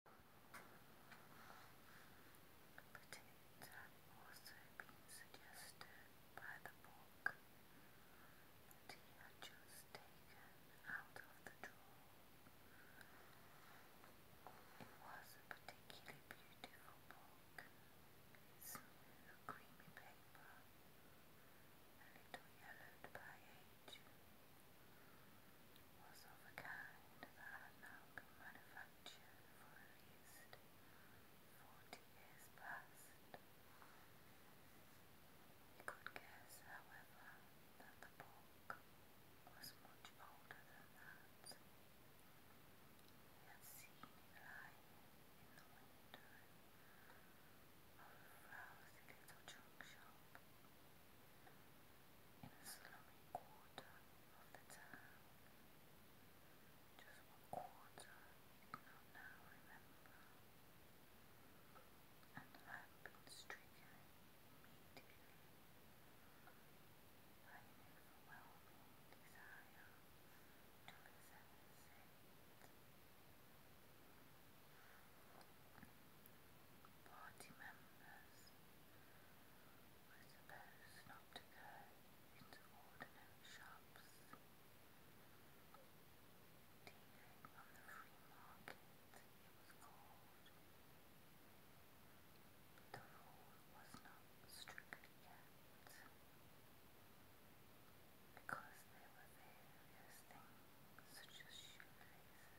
Opportunities have the book had just taken out of the drawer. It was a particularly beautiful book, smooth, creamy paper, a little yellowed by age was of a kind that now can manufacture for at forty years past. He could guess, however, that the book was much older than that. He had seen it lying in the window a little junk shop in a slummy quarter of the town. Just what quarter he did now remember. And had been stricken immediately by an overwhelming desire to party members were supposed into ordinary shops, dealing on the free market it was called. the rule was not strictly kept because there were various things such as shoelaces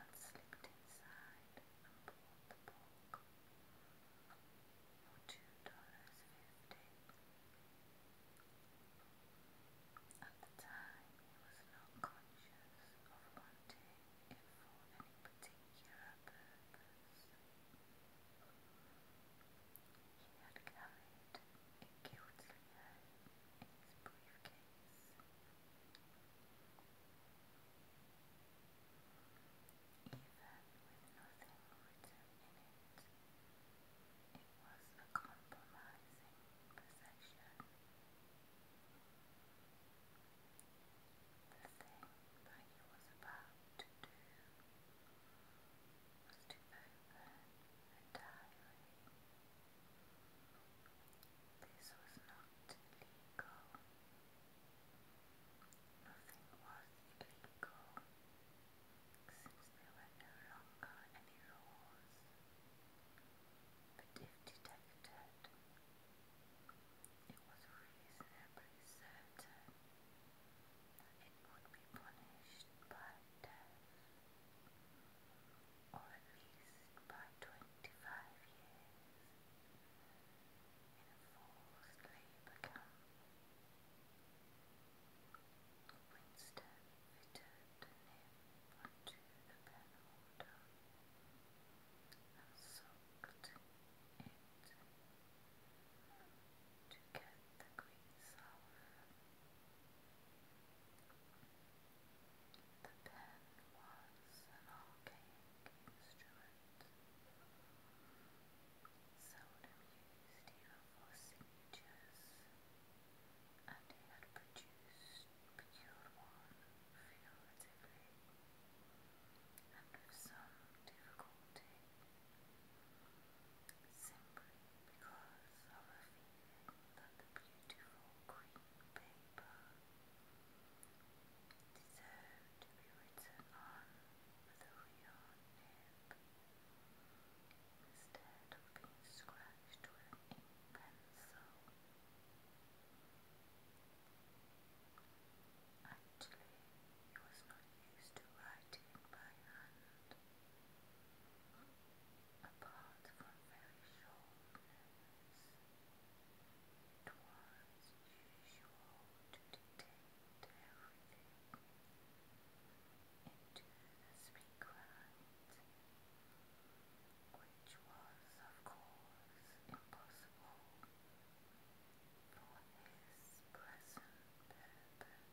and slipped At the time, he was not conscious of wanting it for any particular purpose. He had carried it guiltily briefcase with nothing it. was a compromising possession. The thing that he was about to do was to open a diary. This was not legal. Nothing was illegal since there were no longer any laws. But if detected, it was reasonably certain it would be punished by death or at least by 25 years, in a forced labour camp. Winston fitted the nib onto the pen to get the grease off. The pen was an archaic instrument, seldom used even for signatures, and he had produced, procured one figuratively, and with some difficulty, simply because of a that beautiful green paper deserved to be written on with a being scratched with an pencil. Actually, he was not used to writing by hand apart from very short It was usual to dictate everything into the speaker which was, of course, impossible for his present purpose.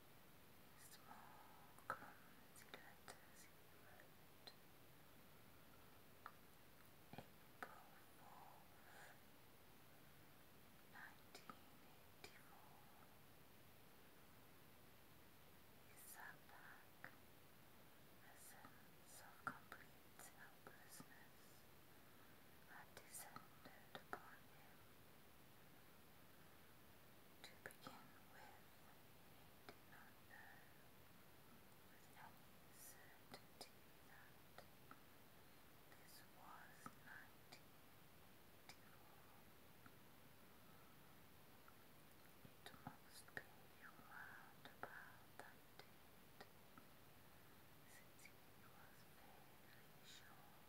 small clumsy letters a sense of complete helplessness had descended upon him. To begin with, with any certainty that this was 1984. It must be round that date, was fairly sure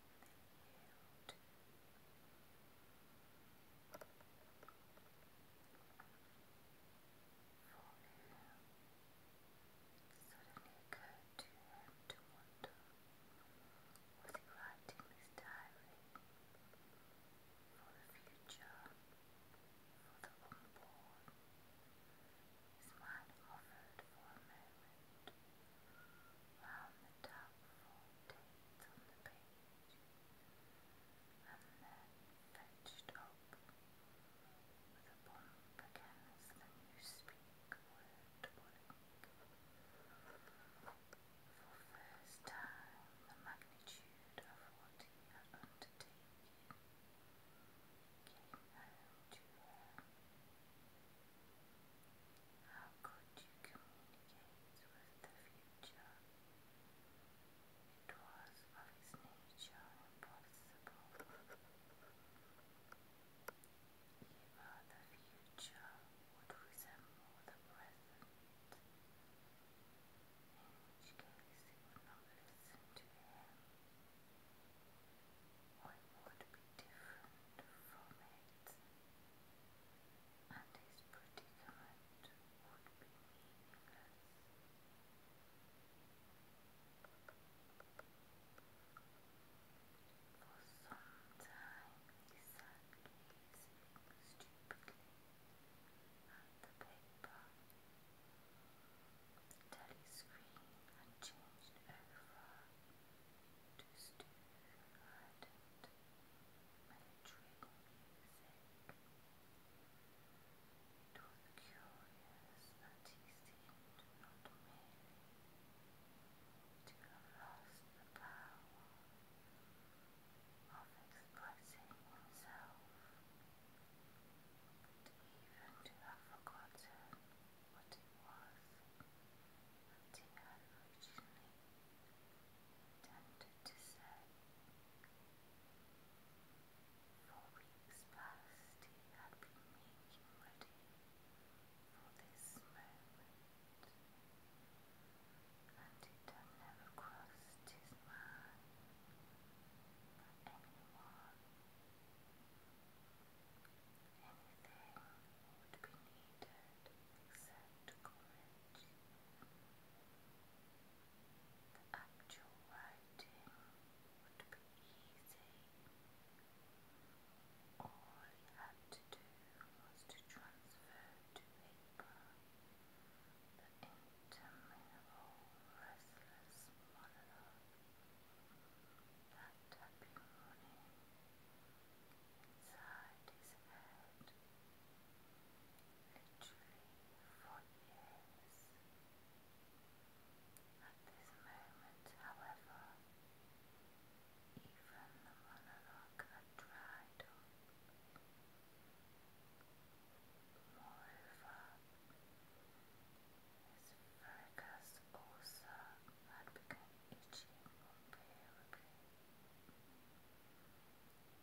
suddenly occurred to was he writing his diary for the future, for the unborn? His mind hovered for a moment the top on the page and then fetched up with a bump against the newspeak word For first time the magnitude of what he had undertaken how could you communicate with the future? It was of impossible. Either the future would the present, in which case he would not listen to him, or would be different from him and his predicament would be meaningless. For some time he sat gazing stupidly at the paper till his screen had changed over just ardent melancholical to have the power of expressing himself, but even to have forgotten what it was he had originally intended to say. For weeks past, he had been making ready for this moment, and it had never crossed his mind that Everything would be needed except courage. The actual writing would be easy. All he had to do was to transfer to the interminable, restless monologue tapping on him inside his head, literally for years. At this moment, however, even the monologue had dried up. Moreover, his focus also had become itchy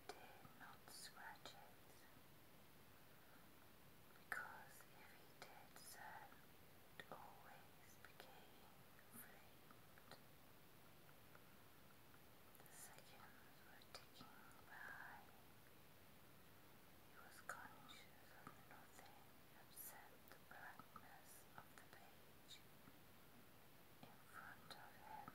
Did not scratch it, because if he did so, it always became inflamed. The seconds were ticking by. He was conscious of nothing upset the blackness of the page in front of him.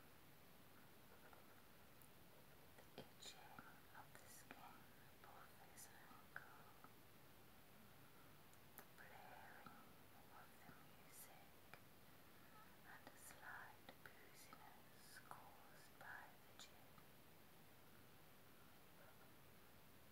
The itching of the skin above his ankle, the blaring of the music, and a slight booziness caused by the gin.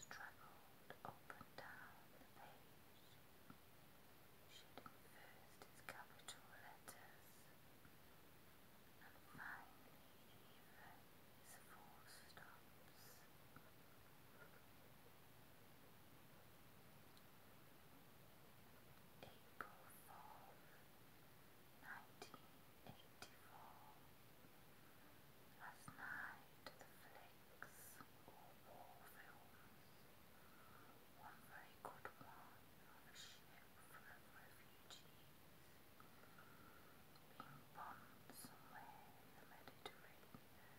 struggled up and down the page, shedding first his letters, and finally even his full stops. April 4th, beautiful. Last night, the flicks or war films. One very good one a ship full refugees being bombed somewhere in the Mediterranean.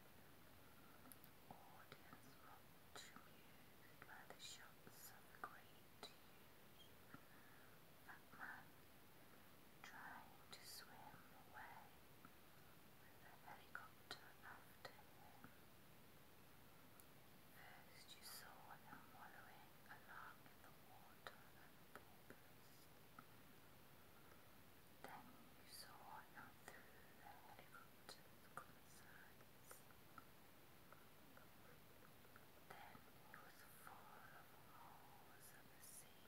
Audience much amused by the shots of great that man trying to swim away with the helicopter after him. First you saw him wallowing along in the water and porpoise. Then you saw him through the helicopter's concerns. Then he was full of holes in the sea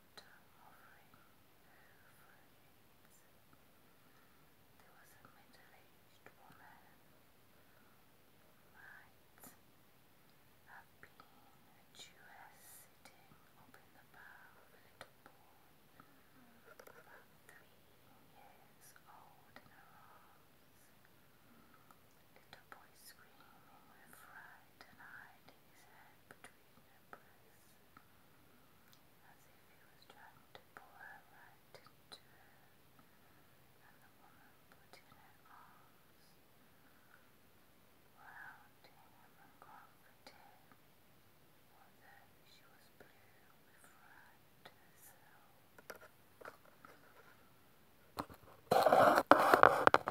after hovering there was a middle-aged woman who might have a Jewess sitting the bow of a little three years old in her arms. Little boy screaming with fright and hiding his head between in a as if he was trying to pull her right into and the woman put in her arms round him and comforted him, although she was blue with fright herself.